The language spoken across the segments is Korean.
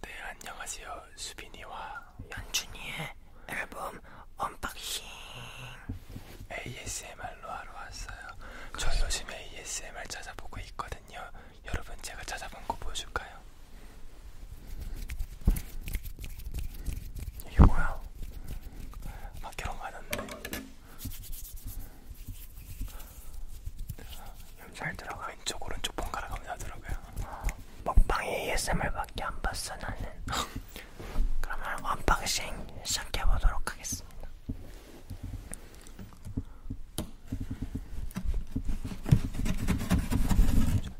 네 안녕하세요 수빈이와 연준이의 앨범 언박싱 ASMR로 하러 왔어요 저 요즘 ASMR 찾아보고 있거든요 여러분 제가 찾아본 거 보여줄까요? 이게 뭐야? 막 이런 거 하는데 잘 들어가. 왼쪽 오른쪽 번갈아 가면서 하더라고요. 어, 먹방 ASMR밖에 안 봤어 나는. 그러면 언박싱 시작해 보도록 하겠습니다.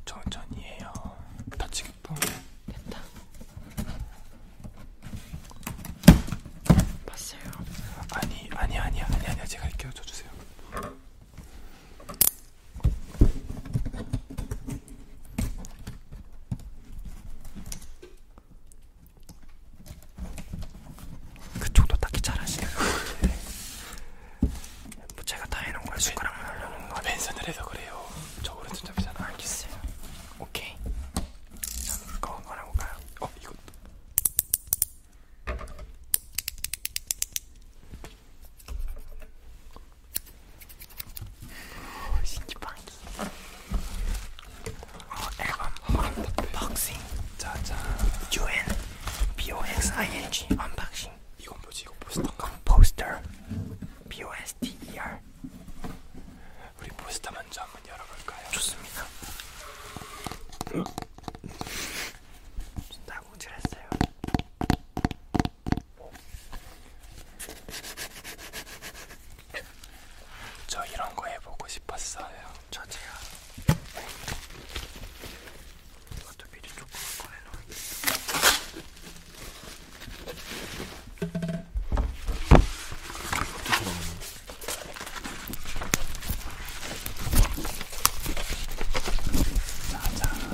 천천히 해요. 다치겠다. 됐다. 봤어요. 아니 아니 아니 아니 아니 제가 이렇게 줘주세요. 그쪽도 딱히 잘하시네요. 뭐 제가 다 해놓은 거예요. 숟가락만 하려는 거. 벤슨을 해서 그래요. 저거는 진짜 비싸다. 알겠어요. 오케이. 그럼 그거 한번 해볼까요? 어 이거. 신기방기 어, 앨범 언박싱 자자 UN BOXING 언박싱 이건 뭐지 이거 포스터인가? 포스터 BOSTER 우리 포스터 먼저 한번 열어볼까요? 좋습니다 다공질 했어요. 저 이런 거 해보고 싶었어요. 저 제가 이것도 미리 조금 꺼내놓을게요. 이것도 들어가네. 짜잔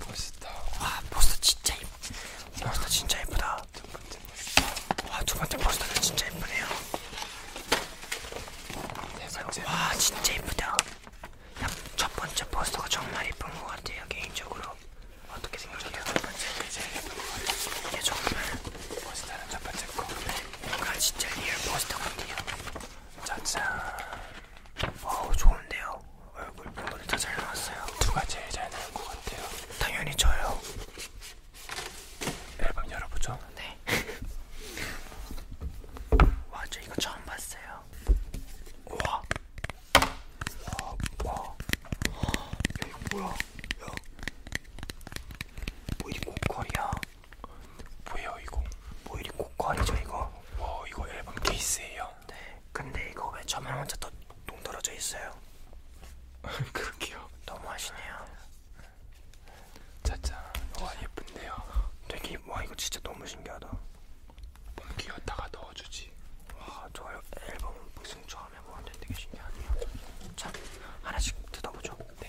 포스터 와 포스터 진짜 예쁘다 포스터 진짜 예쁘다 두 번째 포스터 와두 번째 포스터도 진짜 예쁘네요 세 네 번째 와 진짜 예쁘다 첫 번째 포스터가 정말 예쁜 것 같아요 개인적으로 어떻게 생각해요? 첫 번째가 제일 예쁜 것 같아요 이게 정말 포스터는 첫 번째 거 뭔가 진짜 리얼 포스터 같아요 짜잔. 어우 좋은데요. 얼굴 분분이 다잘 나왔어요. 누가 제일 잘 나온 것 같아요? 당연히 저요. 앨범 열어보죠. 네. 와, 저 이거 처음 봤어요. 와. 와, 와. 야, 이거 뭐야? 야. 뭐 이게 목걸이야? 뭐예요 이거? 뭐 이리 고퀄이죠 이거? 와 이거 앨범 케이스예요. 네. 근데 이거 왜 저만 혼자 또 동떨어져 있어요? 그러게요. 너무하시네요. 짜잔. 와 예쁜데요. 되게 와 이거 진짜 너무 신기하다. 옮기었다가 넣어주지. 와저 앨범은 무슨 처음 해보는데 뭐 되게 신기하네요. 자 하나씩 뜯어보죠. 네.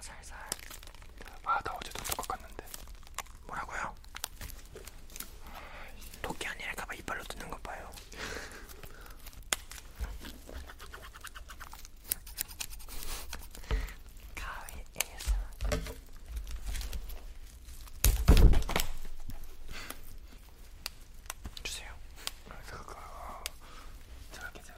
살살. 아, 나 어제도 똑같았는데. 뭐라고요? 토끼 아니랄까봐 이빨로 뜯는 것 봐요. 가위 에서 주세요. 제가 아, 제가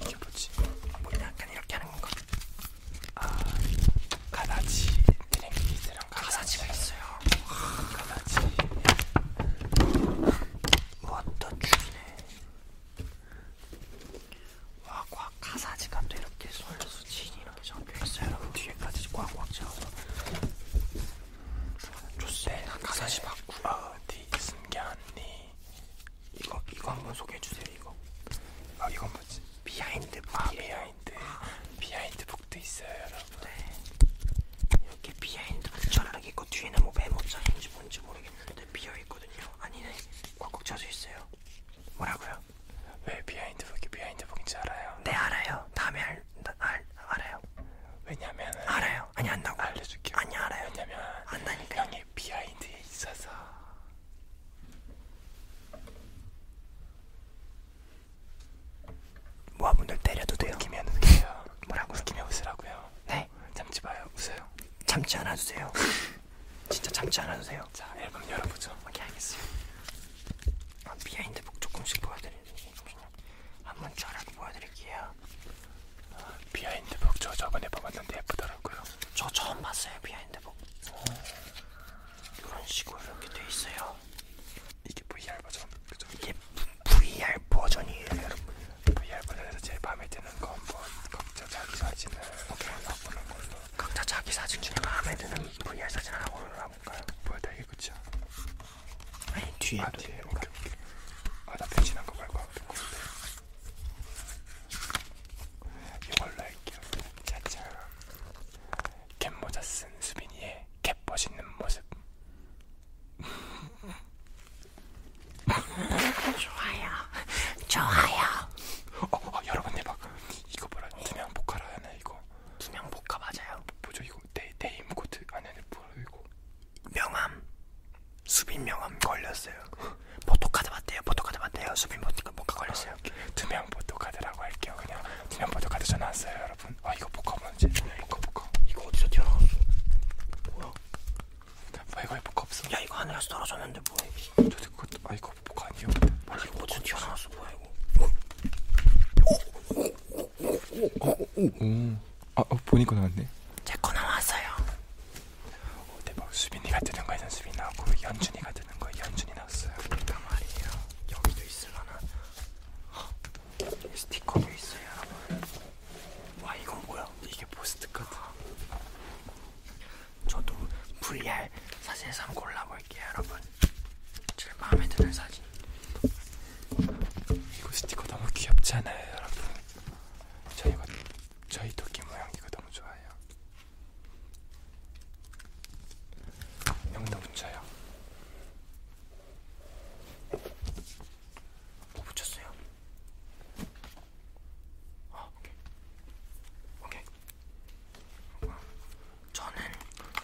이게 뭐지? 뭐 약간 이렇게 하는 건가? 아, 가다지 드랭키즈랑 가사지가 있어요. 가다지. 뭐또 죽이네. 와, 꽉 가사지가 또 이렇게 솔수 진이라고 적혀 있어요. 여러분 뒤에까지 꽉꽉 채워서. 좋습니다. 가사시 바꾸 어디 숨겼니? 이거 이거 한번 소개해 주세요. 이거. 아 이건 뭐지? 아, 비하인드 아 비하인드 비하인드 북도 있어요, 여러분. 네. 이렇게 비하인드 전락 있고 뒤에는 뭐 메모장인지 뭔지 모르겠는데 비어 있거든요. 아니네. 꽉꽉 차져 있어요. 뭐라고요? 왜 비하인드 북이 비하인드 북인지 알아요? 네 알아요. 다음에 알, 알 알아요. 왜냐면은 알아요. 알아요. 아니 안 나고. 알려줄게요. 아니 알아요. 왜냐면 안다니까. 형이 비하인드에 있어서. 모아분들 때려도 돼요. 웃기면 웃겨요. 뭐라고? 웃기면 웃으라고요. 네. 참지 마요. 웃어요. 참지 않아 주세요. 진짜 참지 않아 주세요. 자 앨범 열어보죠. 오케이 알겠어요. 아, 비하인드 복 조금씩 보여드리는. 한번 촬영 보여드릴게요. 어, 아, 비하인드북 저 저번에 봐봤는데 예쁘더라고요. 저 처음 봤어요 비하인드북. 이런 식으로 이렇게 돼 있어요. 이게 VR 버전. 그죠? 이게 VR 버전이에요 여러분. VR 버전에서 제일 마음에 드는 거 한번 각자 자기 사진을 골라보는 걸로. 각자 자기 사진 중에 마음에 드는 VR 사진 하나 골라볼까요? 보여드리겠죠. 아니 뒤에 아, 뒤에 오케이 오케이 아나 배신한 거 말고 앞에 건데 이걸로 할게요 짜잔 캡모자 쓴 수빈이의 캡 멋있는 모습 좋아요 좋아요 어, 어 여러분 대박 이거 뭐라 두명 복카라 하나 이거 두명 복카 맞아요 보죠 뭐, 이거 네, 네임 코드 안에는 뭐라고 명함 수빈 명함 걸렸어요. 포토카드 맞대요. 포토카드 맞대요. 수빈 포토카드 뭔가 걸렸어요. 아, 두명 포토카드라고 할게요. 그냥 두명 포토카드 전화 왔어요, 여러분. 아 이거 포카 뭔지? 포카 포카. 이거 어디서 튀어나왔어? 뭐야? 아 이거 포카 없어. 야 이거 하늘에서 떨어졌는데 뭐야? 아, 저도 그거 아 이거 포카 아니요. 아 이거 어디서 튀어나왔어 뭐야 이거? 오, 오, 오. 어, 어, 어, 음. 아, 어, 보니까 나왔네. 제거 나왔어요. 어, 대박. 수빈이가 뜨는 거에는 수빈 나왔고 연준이가 뜨는 거에 연준이 나왔어요. 그러니까 말이에요. 여기도 있을라나. 스티커도 있어요, 여러분. 와, 이건 뭐야? 이게 포스트 카드. 저도 VR 사진상 골라볼게요, 여러분. 제일 마음에 드는 사진. 이거 스티커 너무 귀엽잖아요, 여러분. 저희가 저희 토끼 모양 이거 너무 좋아요. 여기다 붙여요. 뭐 붙였어요? 아, 오케이. 오케이. 저는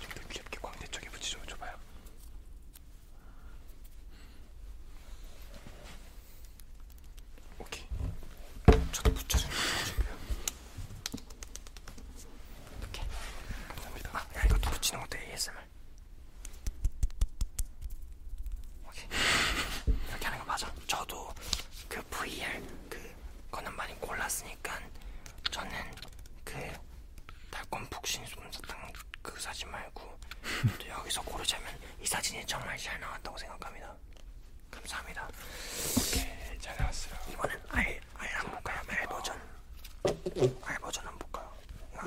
좀 더 귀엽게 광대 쪽에 붙이죠. 줘봐요. 오케이. 저도 붙여주는 거예요. 오케이. 감사합니다. 아, 야, 이것도 붙이는 것도 ASMR. 오케이. 이렇게 하는 거 맞아. 저도 그 VR 그 거는 많이 골랐으니까 저는 그 달콤 푹신 솜사탕 그 사진 말고 또 여기서 고르자면 이 사진이 정말 잘 나왔다고 생각합니다. 감사합니다. 오케이 잘 나왔어요. 이번엔 알, 알안 볼까요? 알 버전. 알 버전 안 볼까요?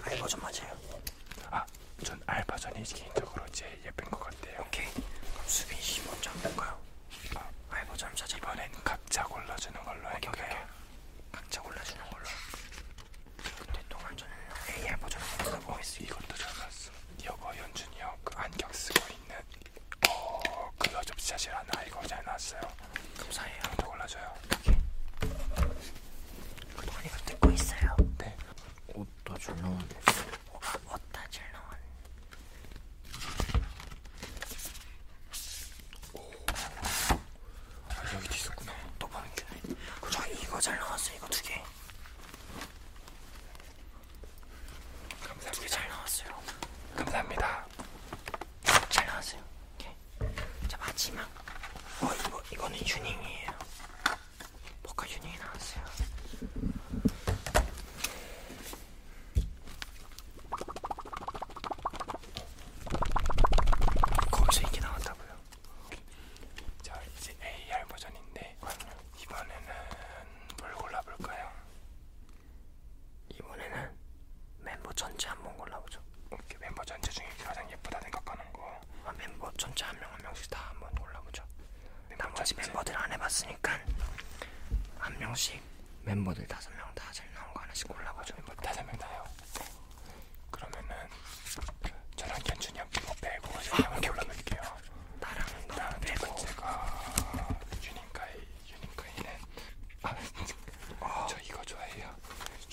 알 버전 맞아요. 아, 전알 버전이 개인적으로 제일 예쁜 것 같아요. 오케이. 그럼 수빈 씨 먼저 안 볼까요? 아, 알 버전 찾아. 이번엔 각자 골라주는 걸로 할게요. 각자 골라주는 걸로. 그때 동안 저는 AR 버전을 쓰고 있어요. 이것도 들어갔어. 이거 연준이 형 그 안경 쓰고 있는 어 그거 접시사실 하나 이거 잘 나왔어요. 감사해요. 또 골라줘요. 이게 그동안 이거 듣고 있어요. 네. 옷도 잘 나왔네. 옷다 잘 나왔네. 아, 여기도 있었구나. 또 버는게. 저 이거 잘 나왔어. 이거 두 개. 두개 감사합니다. 잘 나왔어요. 감사합니다. 잘 나왔어요. 오케이. 자 마지막. 어 이거 이거는 유닝이에요. 버카 유닝이 나왔어요. 거기서 이게 나왔다고요? 자 이제 AR 버전인데 이번에는 뭘 골라볼까요? 이번에는 멤버 전체 한번 골라보죠. 오케이 멤버 전체 중에 가장 예쁘다 생각하는 거. 아, 멤버 전체 한명한 한 명씩 다 한번 골라보죠. 멤버 나머지 전체. 멤버들 안 해봤으니까 한 명씩 멤버들 다섯 명 다 잘 나온 거 하나씩 골라보죠. 멤버 다섯 명 다요. 네. 그러면은 저랑 견준이 형 이거 빼고 제가 한번 골라볼게요. 나랑 나 아, 네 빼고 제가 유니카이 유니카이는 아, 저 이거 좋아해요.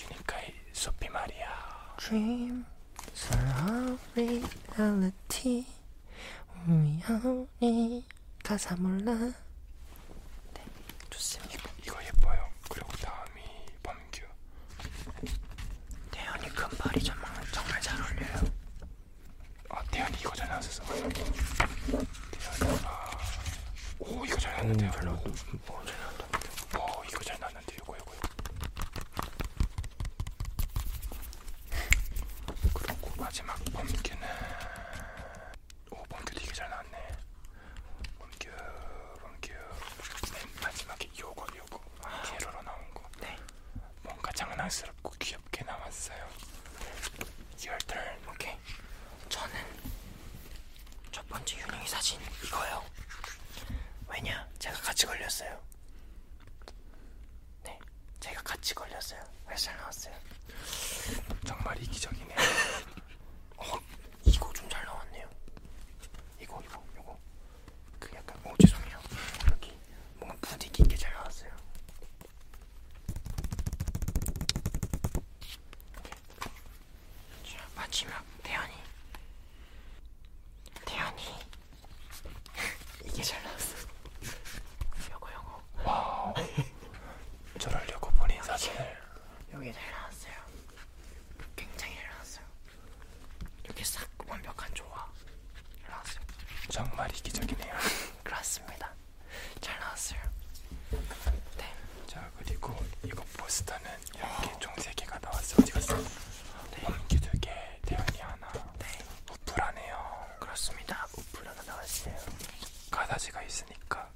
유니카이 소피 마리아. Dream, s o reality, we only 가사 몰라. 네, 좋습니다. 이거, 이거 예뻐요. 그리고 다음이 범 범규 태연이 큰 발이 정말, 정말 잘 어울려요 아 태연이 이거 전혀 안 썼어 태연이가 아. 오 이거 잘 났는데요 음, 잘 나왔다 오, 어, 잘 나왔다 오 어, 이거 잘 났는데 이거 이거 어, 그리고 마지막 범규는 오 범규도 이게 잘 나왔네 옮겨 옮겨 맨 마지막에 요거 요거 제로로 아, 네. 나온 거 네. 뭔가 장난스럽고 귀엽게 나왔어요. Your turn. 오케이. 저는 첫 번째 유령이 사진 이거요. 왜냐? 제가 같이 걸렸어요. 네, 제가 같이 걸렸어요. 회사 나왔어요. 정말 이기적이네. 어, 이거 좀 잘 나왔네요. 이거 이거 이거 그 약간 어 죄송해요. 여기 뭔가 부딪힌 게잘 나왔어요. 자 마지막 태연이 태연이 이게 잘 나왔어. 요거 요거. 와우. 저럴려고 보니 사실 여기 잘 나왔어요. 굉장히 릴렉스요. 이렇게 싹 완벽한 조화. 잘 나왔어요. 정말 이기적이네요. 그렇습니다. 잘 나왔어요. 네. 자 그리고 이거 포스터는 이렇게 어. 총 3개가 나왔어요. 어디 갔어? 홈기 2개, 대현이 하나. 네. 우플하네요. 그렇습니다. 우플 하나 나왔어요. 가다지가 있으니까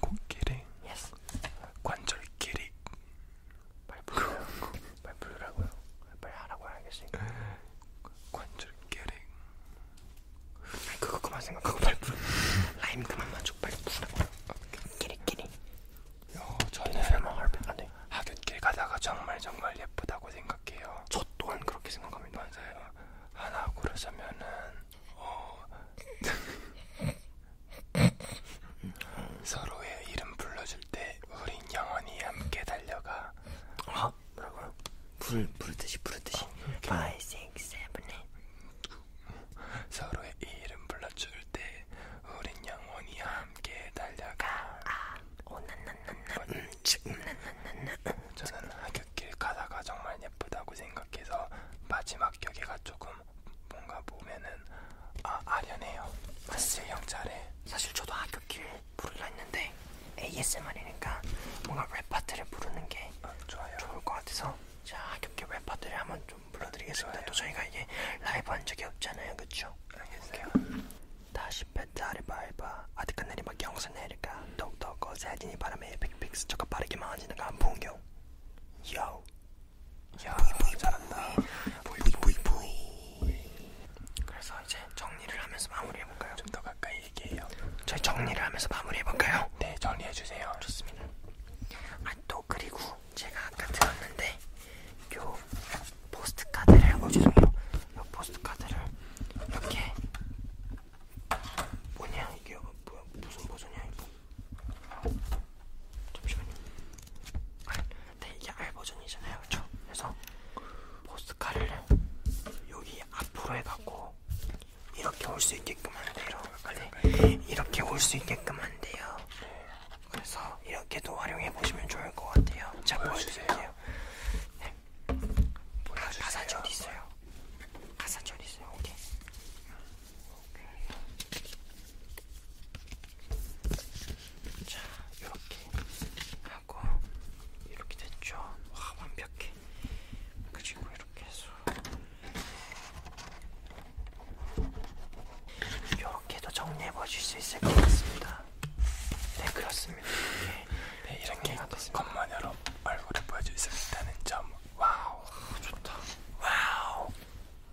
코끼리 yes. 관절끼리 말 부르라고 말 부르라고요 말 하라고 알겠으니까 관절끼리 아니 그거 그만 생각하고 말 부르 라임 그만 맞추고 말 부르라고요 끼리끼리 요 저는 할배네 하굣길 가다가 정말 정말 예쁘다고 생각해요. 저 또한 그렇게 생각합니다. 맞아요. 하나 고르자면은 어... 서로의 이름 불러줄 때 우린 영원히 함께 달려가. 아 뭐라고요? 부르 부르듯이 부르듯이. 어, 5, 6, 7, 8. 서로의 이름 불러줄 때 우린 영원히 함께 달려가 저는 하굣길 가다가 정말 예쁘다고 생각해서 마지막 격에가 조금 뭔가 보면은 아, 아련해요 사실 영차례 사실 저도 하굣길 부르려 했는데 ASMR이니까 뭔가 랩 파트를 부르는 게 아, 좋아요. 좋을 것 같아서 제가 하굣길 랩 파트를 한번 좀좀 불러드리겠습니다. 또 저희가 이게 라이브 한 적이 없잖아요, 그렇죠? 알겠어요. 다시 배달이 바이바 아득 한 내리막 영상 내릴까 똑똑 거세진이 바람에 빅빅스 저가 빠르게 망하지는 안본 경. 요. 야, 보이 아, 잘한다. 보이 보이 보이. 그래서 이제 정리를 하면서 마무리해 볼까요? 좀 더 가까이 얘기해요. 저희 정리를 하면서 마무리해 볼까요? 네, 정리해 주세요. 좋습니다. 아 또 그리고 제가 아까 들었는데 요 포스트카드를 어 죄송해요 요 포스트카드를 이렇게 뭐냐 이게 뭐야 무슨 버전이야 이거 잠시만요 알, 아, 근데 네, 이게 R 버전이잖아요 그쵸 그래서 포스트카드를 여기 앞으로 해갖고 이렇게 올 수 있게끔 한대요 네, 이렇게 올 수 있게끔 한대요 그래서 이렇게도 활용해 보시면 좋을 것 같아요. 자 보여주세요. 네. 아, 가사지 어디 있어요? 가사지 어디 있어요? 오케이. 오케이. 자 이렇게 하고 이렇게 됐죠. 와 완벽해. 그리고 이렇게 해서 이렇게도 정리해 보실 수 있을 것 같습니다. 네 그렇습니다. 네, 네 이렇게 겉만으로 얼굴을 보여줄 수 있다는 점 와우 좋다 와우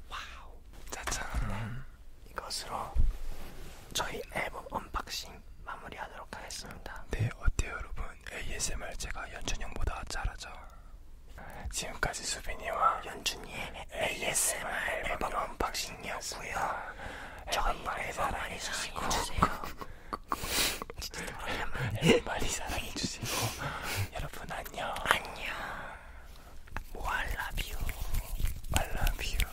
와우 짜잔 음. 이것으로 저희 앨범 언박싱 마무리하도록 하겠습니다. 네 어때요 여러분 ASMR 제가 연준형보다 잘하죠? 지금까지 수빈이와 연준이의 ASMR 앨범 언박싱이었고요. 저희 앨범 많이 사랑해주세요. 진짜 오랜만에 많이 사랑해주시고 여러분 안녕. 안녕. 뭐 I love you. I love you.